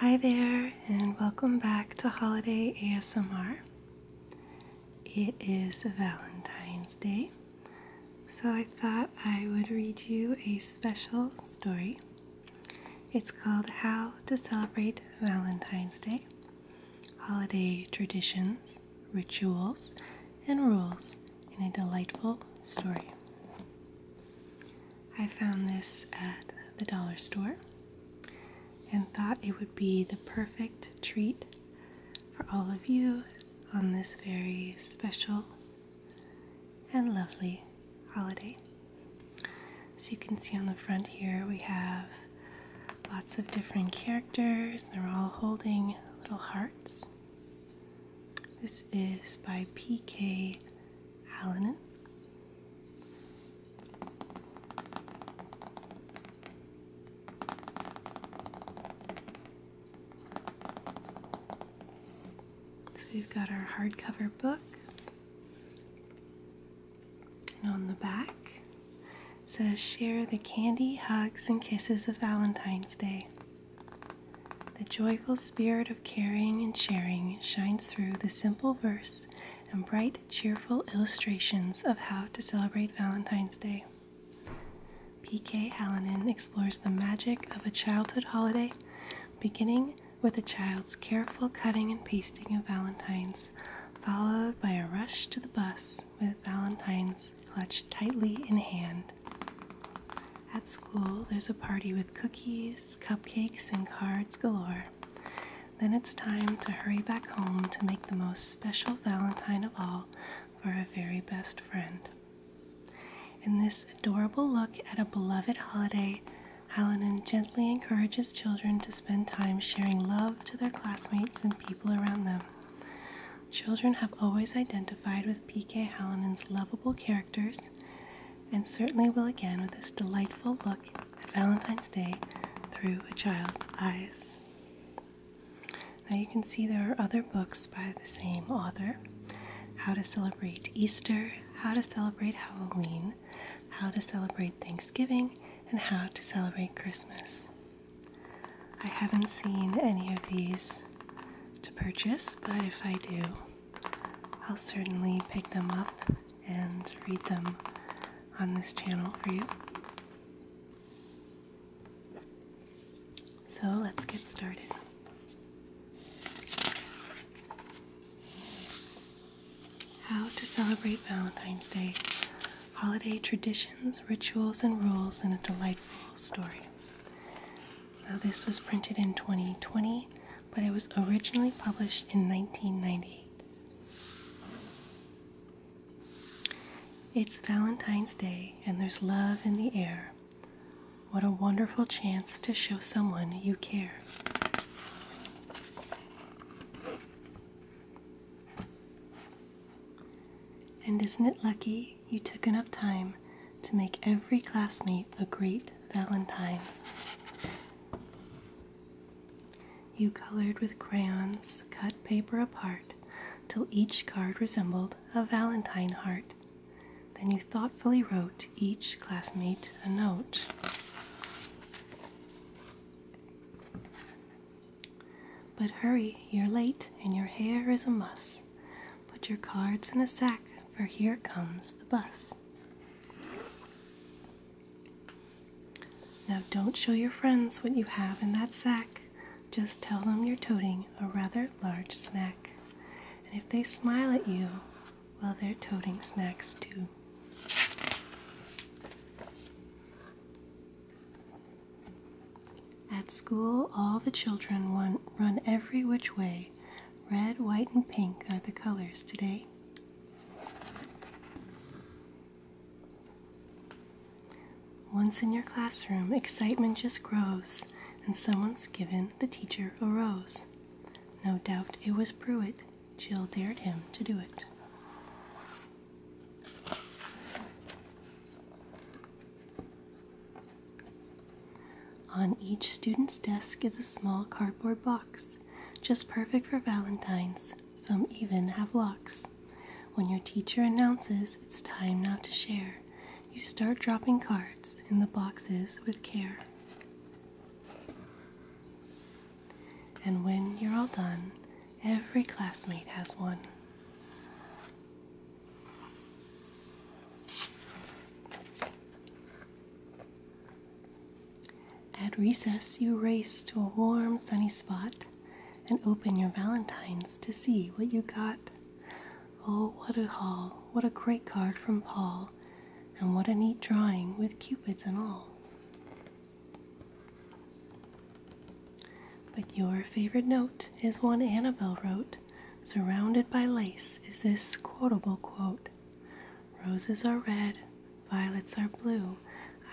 Hi there, and welcome back to Holiday ASMR. It is Valentine's Day, so I thought I would read you a special story. It's called How to Celebrate Valentine's Day Holiday Traditions, Rituals, and Rules in a Delightful Story. I found this at the dollar store and thought it would be the perfect treat for all of you on this very special and lovely holiday. So you can see on the front here we have lots of different characters. They're all holding little hearts. This is by P.K. Hallinan. So we've got our hardcover book, and on the back says, Share the candy, hugs, and kisses of Valentine's Day. The joyful spirit of caring and sharing shines through the simple verse and bright, cheerful illustrations of how to celebrate Valentine's Day. P.K. Hallinan explores the magic of a childhood holiday, beginning with a child's careful cutting and pasting of Valentines, followed by a rush to the bus with Valentines clutched tightly in hand. At school, there's a party with cookies, cupcakes, and cards galore. Then it's time to hurry back home to make the most special Valentine of all for a very best friend. In this adorable look at a beloved holiday, Hallinan gently encourages children to spend time sharing love to their classmates and people around them. Children have always identified with P.K. Hallinan's lovable characters, and certainly will again with this delightful look at Valentine's Day through a child's eyes. Now you can see there are other books by the same author How to Celebrate Easter, How to Celebrate Halloween, How to Celebrate Thanksgiving, and How to Celebrate Christmas. I haven't seen any of these to purchase, but if I do, I'll certainly pick them up and read them on this channel for you. So let's get started. How to celebrate Valentine's Day holiday traditions, rituals, and rules in a delightful story. Now, this was printed in 2020, but it was originally published in 1998. It's Valentine's Day, and there's love in the air. What a wonderful chance to show someone you care. And isn't it lucky you took enough time to make every classmate a great Valentine? You colored with crayons, cut paper apart till each card resembled a Valentine heart. Then you thoughtfully wrote each classmate a note. But hurry, you're late, and your hair is a muss. Put your cards in a sack, for here comes the bus. Now, don't show your friends what you have in that sack. Just tell them you're toting a rather large snack. And if they smile at you, well, they're toting snacks too. At school, all the children run, every which way. Red, white, and pink are the colors today. Once in your classroom, excitement just grows, and someone's given the teacher a rose. No doubt it was Pruitt. Jill dared him to do it. On each student's desk is a small cardboard box, just perfect for Valentine's. Some even have locks. When your teacher announces it's time now to share, you start dropping cards in the boxes with care. And when you're all done, every classmate has one. At recess, you race to a warm, sunny spot and open your valentines to see what you got. Oh, what a haul! What a great card from Paul! And what a neat drawing with cupids and all. But your favorite note is one Annabel wrote Surrounded by lace is this quotable quote Roses are red, violets are blue.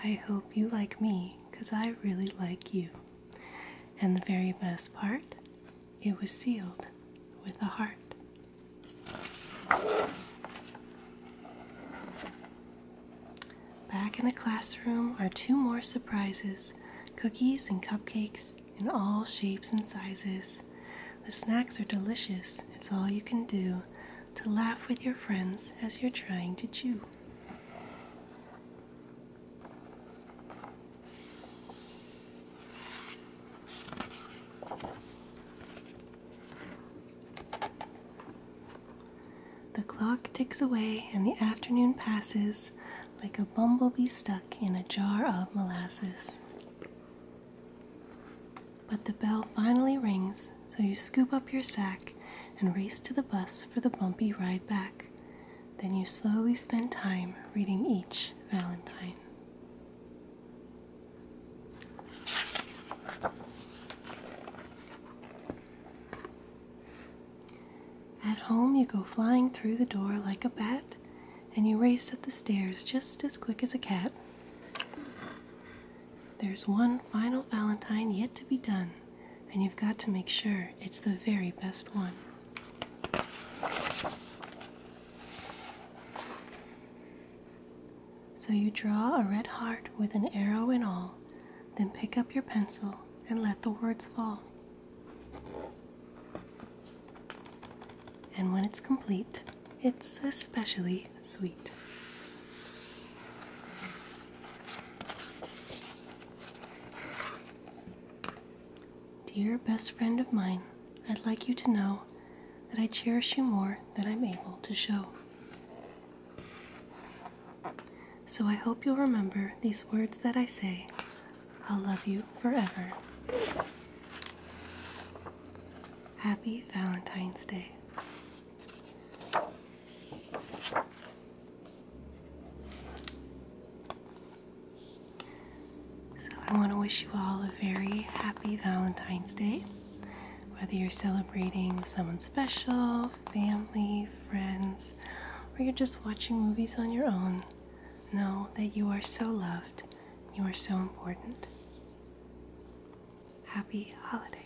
I hope you like me, because I really like you. And the very best part, it was sealed with a heart. Back in the classroom are two more surprises cookies and cupcakes in all shapes and sizes. The snacks are delicious. It's all you can do to laugh with your friends as you're trying to chew. The clock ticks away, and the afternoon passes like a bumblebee stuck in a jar of molasses. But the bell finally rings, so you scoop up your sack and race to the bus for the bumpy ride back then you slowly spend time reading each Valentine. At home, you go flying through the door like a bat, and you race up the stairs just as quick as a cat. There's one final Valentine yet to be done, and you've got to make sure it's the very best one. So you draw a red heart with an arrow in all, then pick up your pencil and let the words fall. And when it's complete, it's especially sweet. Dear best friend of mine, I'd like you to know that I cherish you more than I'm able to show. So I hope you'll remember these words that I say I'll love you forever. Happy Valentine's Day. So, I want to wish you all a very happy Valentine's Day. Whether you're celebrating someone special, family, friends, or you're just watching movies on your own, know that you are so loved, you are so important. Happy holidays.